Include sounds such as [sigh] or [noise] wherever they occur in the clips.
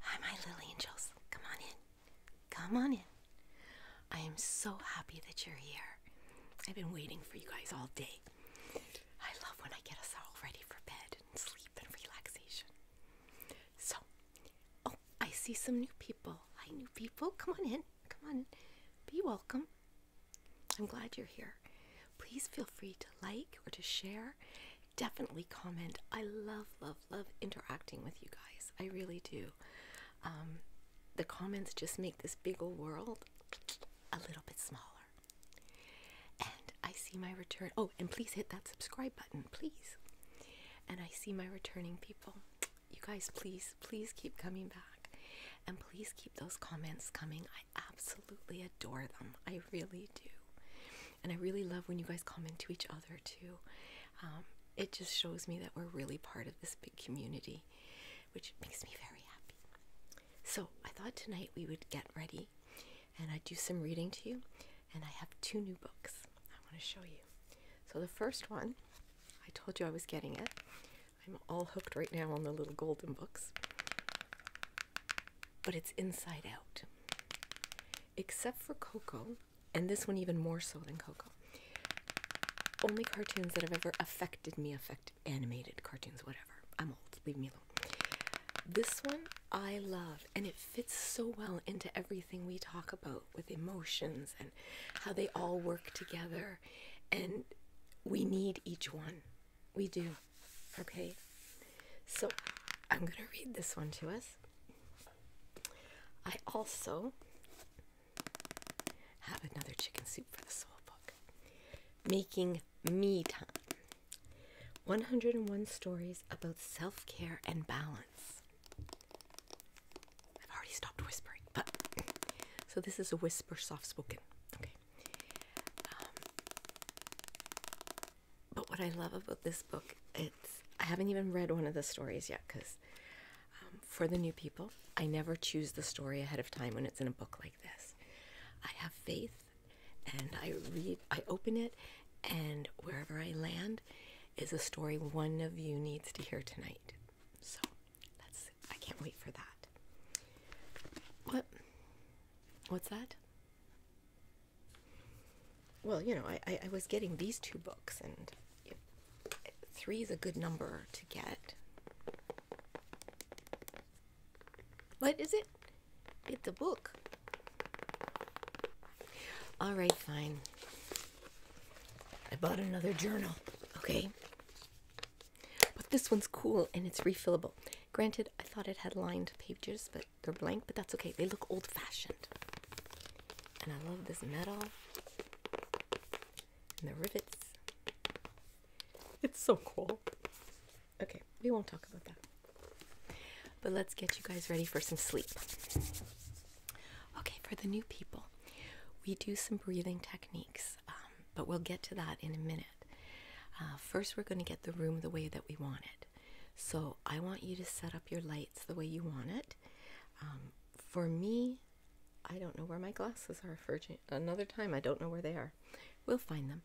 Hi, my little angels. Come on in. Come on in. I am so happy that you're here. I've been waiting for you guys all day. I love when I get us all ready for bed and sleep and relaxation. So, oh, I see some new people. Hi, new people. Come on in. Come on in. Be welcome. I'm glad you're here. Please feel free to like or to share definitely comment. I love, love, love interacting with you guys. I really do. Um, the comments just make this big old world a little bit smaller. And I see my return. Oh, and please hit that subscribe button, please. And I see my returning people. You guys, please, please keep coming back. And please keep those comments coming. I absolutely adore them. I really do. And I really love when you guys comment to each other too. Um, it just shows me that we're really part of this big community, which makes me very happy. So I thought tonight we would get ready and I'd do some reading to you. And I have two new books I want to show you. So the first one, I told you I was getting it. I'm all hooked right now on the little golden books. But it's Inside Out except for Coco, and this one even more so than Coco. Only cartoons that have ever affected me affect animated cartoons, whatever. I'm old, leave me alone. This one I love, and it fits so well into everything we talk about with emotions and how they all work together, and we need each one. We do. Oh, okay, so I'm going to read this one to us. I also have another chicken soup for the soul book. Making Me Time 101 Stories About Self Care and Balance. I've already stopped whispering, but so this is a whisper soft spoken. Okay. Um, but what I love about this book, it's I haven't even read one of the stories yet because um, for the new people, I never choose the story ahead of time when it's in a book like this. I have faith, and I read, I open it, and wherever I land is a story one of you needs to hear tonight. So that's I can't wait for that. What? What's that? well, you know, I, I was getting these two books, and you three is a good number to get. What is it? It's a book. All right, fine. I bought another journal, okay? But this one's cool and it's refillable. Granted, I thought it had lined pages, but they're blank, but that's okay. They look old fashioned. And I love this metal and the rivets. It's so cool. Okay, we won't talk about that. But let's get you guys ready for some sleep. Okay, for the new people, we do some breathing techniques, um, but we'll get to that in a minute. Uh, first, we're going to get the room the way that we want it. So I want you to set up your lights the way you want it. Um, for me, I don't know where my glasses are for another time. I don't know where they are. We'll find them.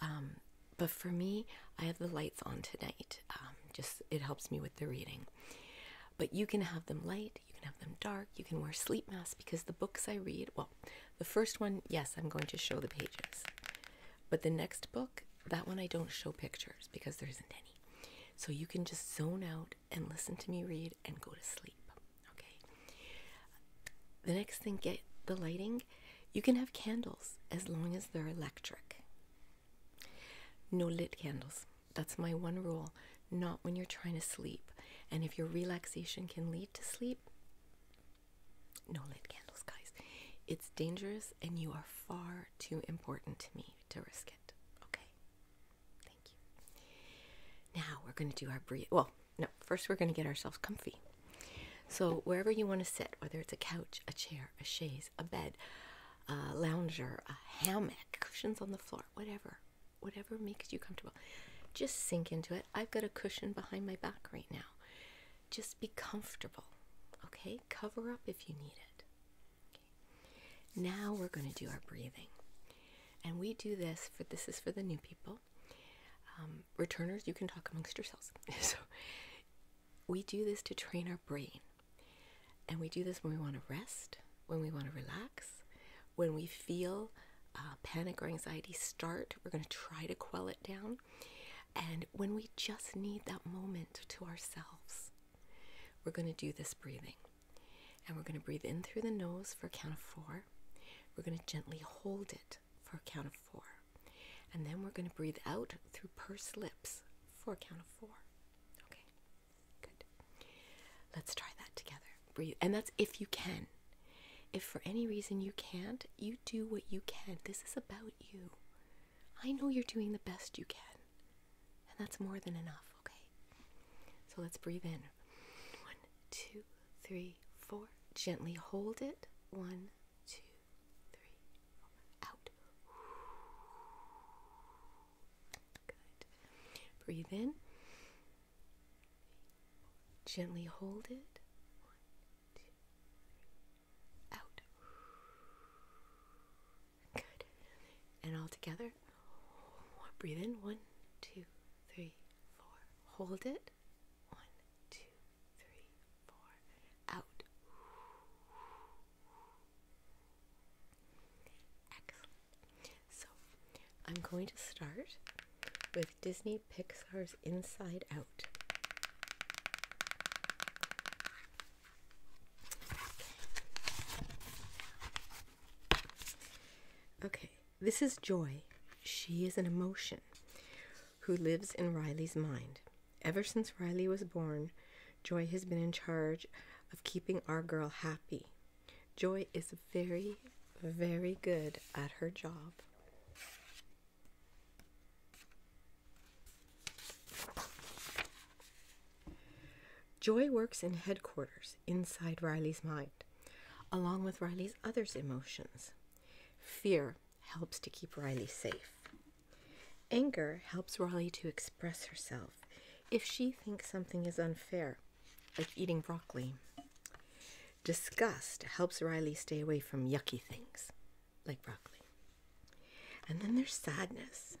Um, but for me, I have the lights on tonight. Um, just it helps me with the reading. But you can have them light, you can have them dark, you can wear sleep masks because the books I read, well, the first one, yes, I'm going to show the pages. But the next book, that one I don't show pictures because there isn't any. So you can just zone out and listen to me read and go to sleep. Okay. The next thing, get the lighting. You can have candles as long as they're electric. No lit candles. That's my one rule. Not when you're trying to sleep. And if your relaxation can lead to sleep, no lit candles, guys. It's dangerous, and you are far too important to me to risk it. Okay? Thank you. Now we're going to do our breathe. Well, no, first we're going to get ourselves comfy. So, wherever you want to sit, whether it's a couch, a chair, a chaise, a bed, a lounger, a hammock, cushions on the floor, whatever, whatever makes you comfortable, just sink into it. I've got a cushion behind my back right now just be comfortable. Okay, cover up if you need it. Now we're going to do our breathing, and we do this for this is for the new people. Um, returners, you can talk amongst yourselves. [laughs] so we do this to train our brain, and we do this when we want to rest, when we want to relax, when we feel uh, panic or anxiety start. We're going to try to quell it down and when we just need that moment to ourselves we're going to do this breathing and we're going to breathe in through the nose for a count of four we're going to gently hold it for a count of four and then we're going to breathe out through pursed lips for a count of four okay good let's try that together breathe and that's if you can if for any reason you can't, you do what you can. This is about you. I know you're doing the best you can, and that's more than enough, okay? So let's breathe in. One, two, three, four. Gently hold it. One, two, three, four. Out. Good. Breathe in. Gently hold it. One, out. Good. And all together. Breathe in. One, two, three, four. Hold it. One, two, three, four. Out. Excellent. So I'm going to start with Disney Pixar's Inside Out. Okay, this is Joy. She is an emotion who lives in Riley's mind. Ever since Riley was born, Joy has been in charge of keeping our girl happy. Joy is very, very good at her job Joy works in headquarters inside Riley's mind, along with Riley's other emotions. Fear helps to keep Riley safe. Anger helps Riley to express herself if she thinks something is unfair, like eating broccoli. Disgust helps Riley stay away from yucky things like broccoli. And then there's sadness.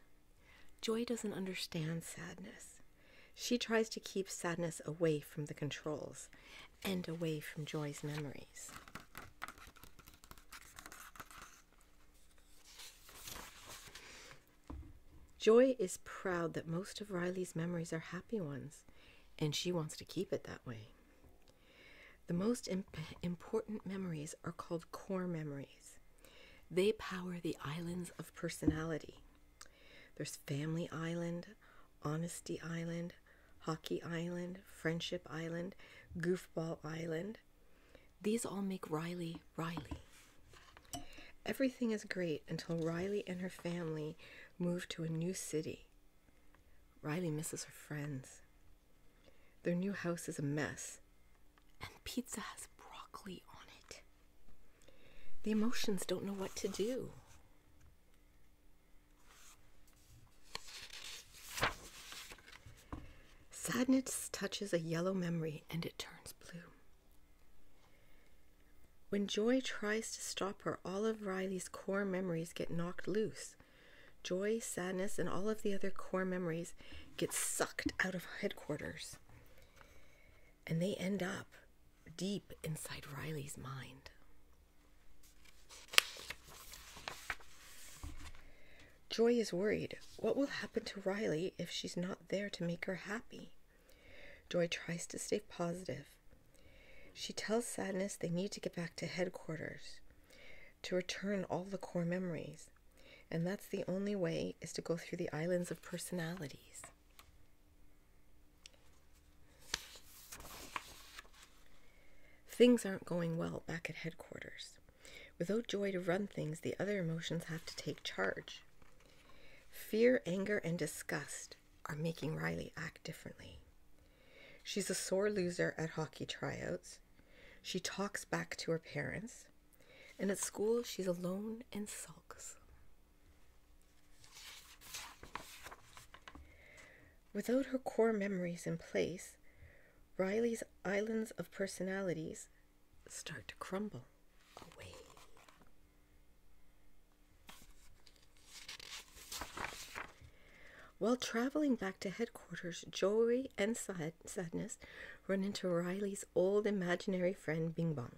Joy doesn't understand sadness. She tries to keep sadness away from the controls and away from Joy's memories. Joy is proud that most of Riley's memories are happy ones and she wants to keep it that way. The most important memories are called core memories. They power the islands of personality. There's Family Island, Honesty Island, Hockey Island, Friendship Island, Goofball Island. These all make Riley Riley. Everything is great until Riley and her family move to a new city. Riley misses her friends. Their new house is a mess, and pizza has broccoli on it. The emotions don't know what to do. Sadness touches a yellow memory and it turns blue. When Joy tries to stop her, all of Riley's core memories get knocked loose. Joy, sadness, and all of the other core memories get sucked out of headquarters. And they end up deep inside Riley's mind. Joy is worried. What will happen to Riley if she's not there to make her happy? Joy tries to stay positive, she tells Sadness they need to get back to headquarters to return all the core memories, and that's the only way is to go through the islands of personalities. Things aren't going well back at headquarters. Without joy to run things, the other emotions have to take charge. Fear, anger, and disgust are making Riley act differently. She's a sore loser at hockey tryouts. She talks back to her parents. And at school, she's alone and sulks. Without her core memories in place, Riley's islands of personalities start to crumble away. While traveling back to headquarters, Joy and Sadness run into Riley's old imaginary friend Bing Bong.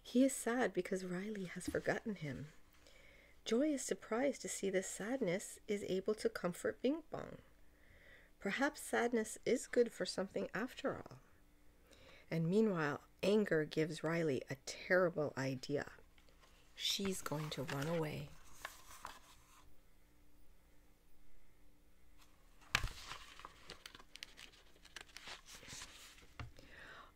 He is sad because Riley has forgotten him. Joy is surprised to see that Sadness is able to comfort Bing Bong. Perhaps sadness is good for something after all. And meanwhile, Anger gives Riley a terrible idea. She's going to run away.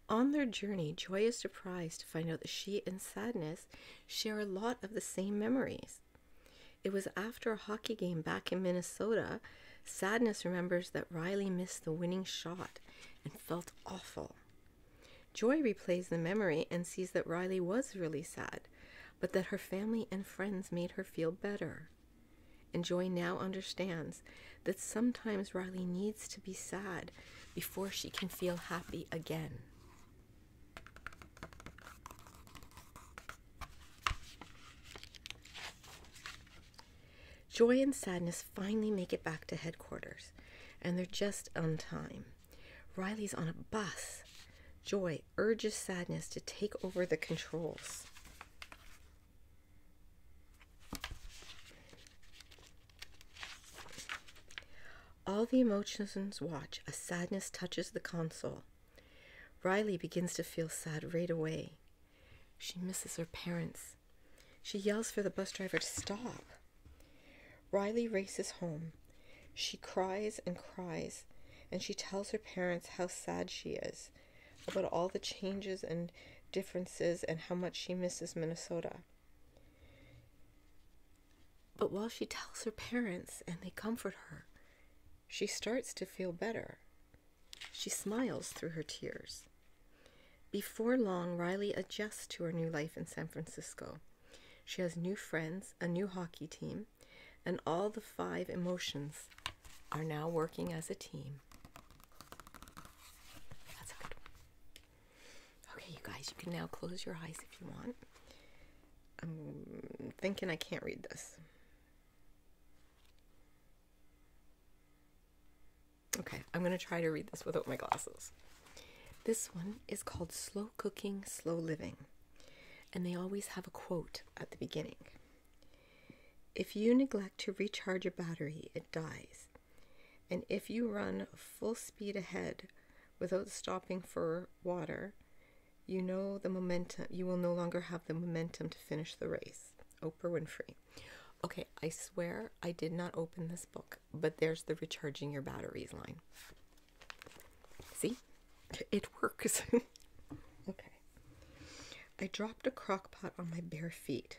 On their journey, Joy is surprised to find out that she and Sadness share a lot of the same memories. It was after a hockey game back in Minnesota, Sadness remembers that Riley missed the winning shot and felt awful. Joy replays the memory and sees that Riley was really sad, but that her family and friends made her feel better. And Joy now understands that sometimes Riley needs to be sad before she can feel happy again. Joy and sadness finally make it back to headquarters, and they're just on time. Riley's on a bus. Joy urges sadness to take over the controls. All the emotions watch as sadness touches the console. Riley begins to feel sad right away. She misses her parents. She yells for the bus driver to stop. Riley races home. She cries and cries, and she tells her parents how sad she is about all the changes and differences and how much she misses Minnesota. But while she tells her parents and they comfort her, she starts to feel better. She smiles through her tears. Before long, Riley adjusts to her new life in San Francisco. She has new friends, a new hockey team, and all the five emotions are now working as a team. That's a good one. Okay, you guys, you can now close your eyes if you want. I'm thinking I can't read this. Okay, I'm going to try to read this without my glasses. This one is called Slow Cooking, Slow Living, and they always have a quote at the beginning. If you neglect to recharge your battery, it dies. And if you run full speed ahead without stopping for water, you know the momentum, you will no longer have the momentum to finish the race. Oprah Winfrey. Okay, I swear I did not open this book, but there's the recharging your batteries line. See? It works. [laughs] okay. I dropped a crock pot on my bare feet.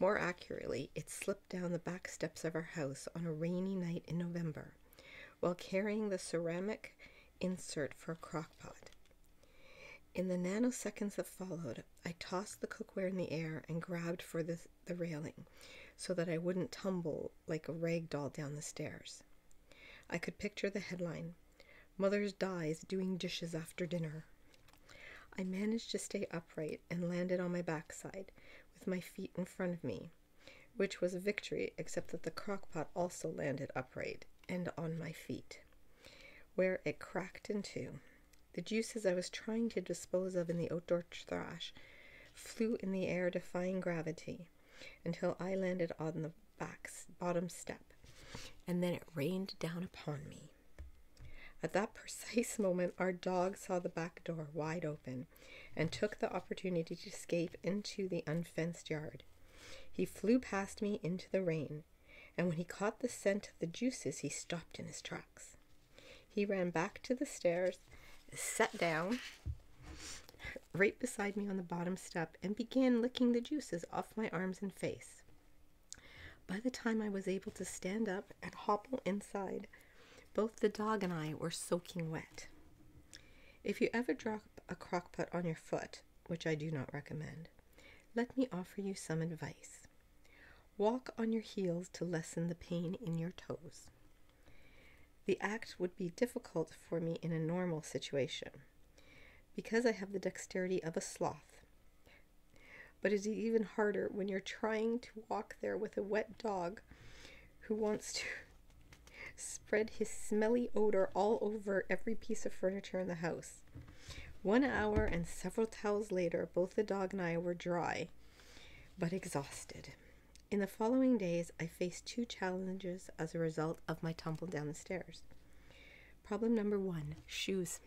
More accurately, it slipped down the back steps of our house on a rainy night in November while carrying the ceramic insert for a crock pot. In the nanoseconds that followed, I tossed the cookware in the air and grabbed for the, railing so that I wouldn't tumble like a rag doll down the stairs. I could picture the headline "Mother Dies Doing Dishes After Dinner. I managed to stay upright and landed on my backside with my feet in front of me, which was a victory, except that the crock pot also landed upright and on my feet where it cracked in two. The juices I was trying to dispose of in the outdoor trash flew in the air, defying gravity, until I landed on the back bottom step, and then it rained down upon me. At that precise [laughs] moment, our dog saw the back door wide open and took the opportunity to escape into the unfenced yard. He flew past me into the rain and when he caught the scent of the juices, he stopped in his tracks. He ran back to the stairs, sat down right beside me on the bottom step, and began licking the juices off my arms and face. By the time I was able to stand up and hobble inside, both the dog and I were soaking wet. If you ever drop a crock pot on your foot, which I do not recommend, let me offer you some advice. Walk on your heels to lessen the pain in your toes. The act would be difficult for me in a normal situation, because I have the dexterity of a sloth. But it is even harder when you're trying to walk there with a wet dog who wants to [laughs] spread his smelly odor all over every piece of furniture in the house. One hour and several towels later, both the dog and I were dry, but exhausted. In the following days, I faced two challenges as a result of my tumble down the stairs. Problem number one shoes.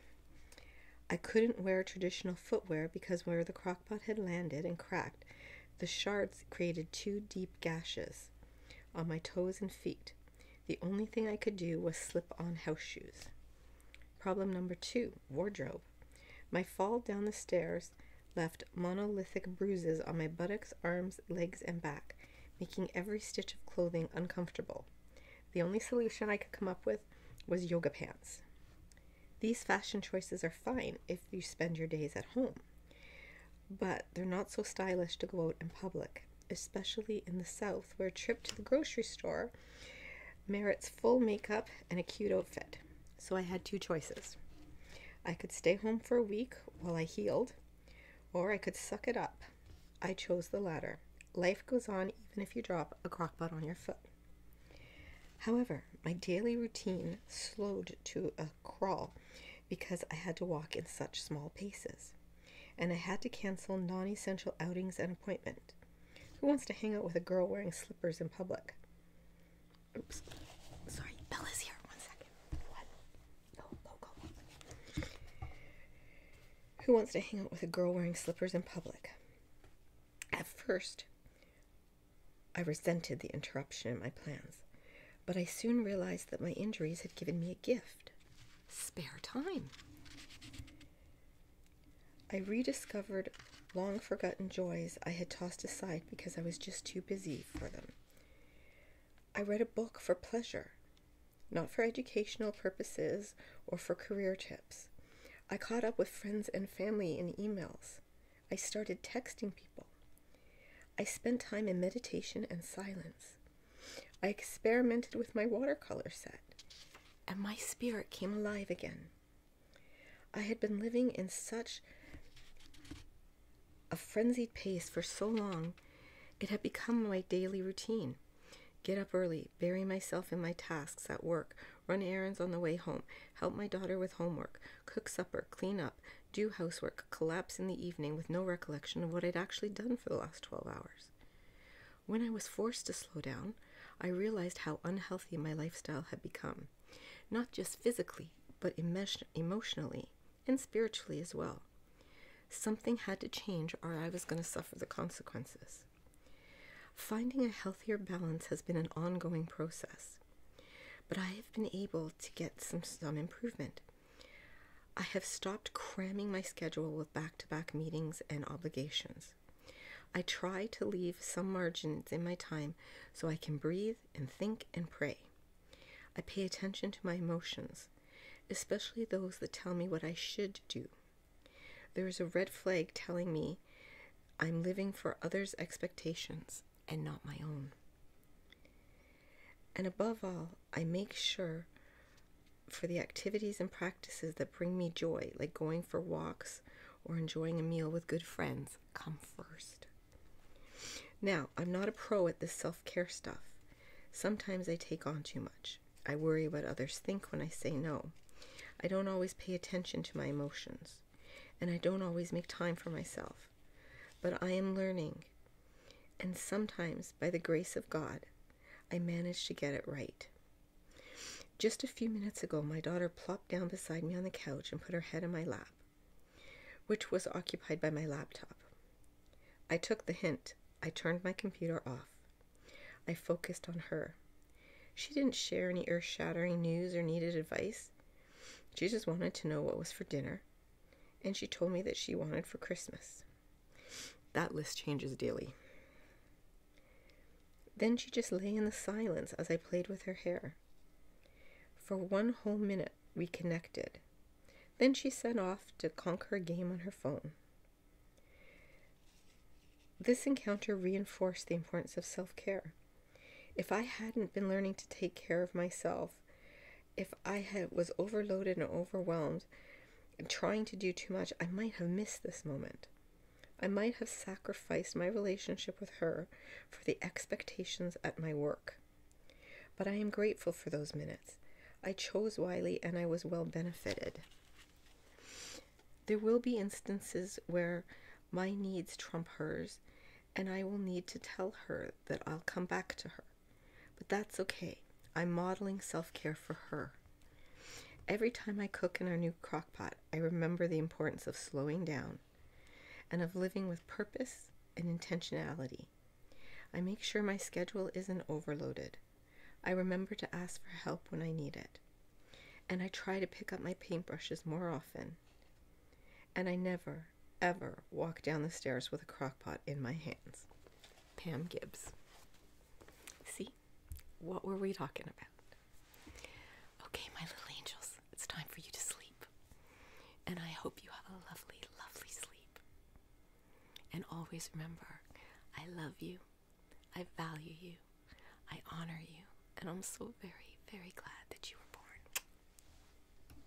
I couldn't wear traditional footwear because where the crockpot had landed and cracked, the shards created two deep gashes on my toes and feet. The only thing I could do was slip on house shoes. Problem number two wardrobe. My fall down the stairs left monolithic bruises on my buttocks, arms, legs, and back, making every stitch of clothing uncomfortable. The only solution I could come up with was yoga pants. These fashion choices are fine if you spend your days at home, but they're not so stylish to go out in public especially in the South, where a trip to the grocery store merits full makeup and a cute outfit. So I had two choices. I could stay home for a week while I healed, or I could suck it up. I chose the latter. Life goes on even if you drop a crockpot on your foot. However, my daily routine slowed to a crawl because I had to walk in such small paces and I had to cancel non essential outings and appointments. Who wants to hang out with a girl wearing slippers in public? Oops. Sorry, Bella's here. One second. Who wants to hang out with a girl wearing slippers in public? At first, I resented the interruption in my plans, but I soon realized that my injuries had given me a gift spare time. I rediscovered long forgotten joys I had tossed aside because I was just too busy for them. I read a book for pleasure, not for educational purposes or for career tips. I caught up with friends and family in emails. I started texting people. I spent time in meditation and silence. I experimented with my watercolor set, and my spirit came alive again. I had been living in such a frenzied pace for so long, it had become my daily routine. Get up early, bury myself in my tasks at work, run errands on the way home, help my daughter with homework, cook supper, clean up, do housework, collapse in the evening with no recollection of what I'd actually done for the last. 12 hours. When I was forced to slow down, I realized how unhealthy my lifestyle had become, not just physically, but emotionally and spiritually as well. Something had to change, or I was going to suffer the consequences. Finding a healthier balance has been an ongoing process, but I have been able to get some, some improvement. I have stopped cramming my schedule with back to back meetings and obligations. I try to leave some margins in my time so I can breathe and think and pray. I pay attention to my emotions, especially those that tell me what I should do. There is a red flag telling me I'm living for others' expectations and not my own. And above all, I make sure for the activities and practices that bring me joy, like going for walks or enjoying a meal with good friends, come first. Now, I'm not a pro at this self care stuff. Sometimes I take on too much. I worry what others think when I say no. I don't always pay attention to my emotions, and I don't always make time for myself but I am learning. And sometimes, by the grace of God, I manage to get it right. Just a few minutes ago, my daughter plopped down beside me on the couch and put her head in my lap, which was occupied by my laptop. I took the hint. I turned my computer off. I focused on her. She didn't share any earth shattering news or needed advice. She just wanted to know what was for dinner and she told me that she wanted for Christmas. That list changes daily. Then she just lay in the silence as I played with her hair. For one whole minute, we connected. Then she set off to conquer a game on her phone. This encounter reinforced the importance of self care. If I hadn't been learning to take care of myself, if I had was overloaded and overwhelmed and trying to do too much, I might have missed this moment. I might have sacrificed my relationship with her for the expectations at my work. But I am grateful for those minutes. I chose Wiley and I was well benefited. There will be instances where my needs trump hers, and I will need to tell her that I'll come back to her. But that's okay. I'm modeling self care for her. Every time I cook in our new crock pot, I remember the importance of slowing down and of living with purpose and intentionality. I make sure my schedule isn't overloaded. I remember to ask for help when I need it. And I try to pick up my paintbrushes more often and I never, ever walk down the stairs with a crock pot in my hands. Pam Gibbs. See, what were we talking about? Okay, my little angels, it's time for you to sleep. And I hope you have a lovely, lovely sleep. And always remember, I love you, I value you, I honor you, and I'm so very, very glad that you were born.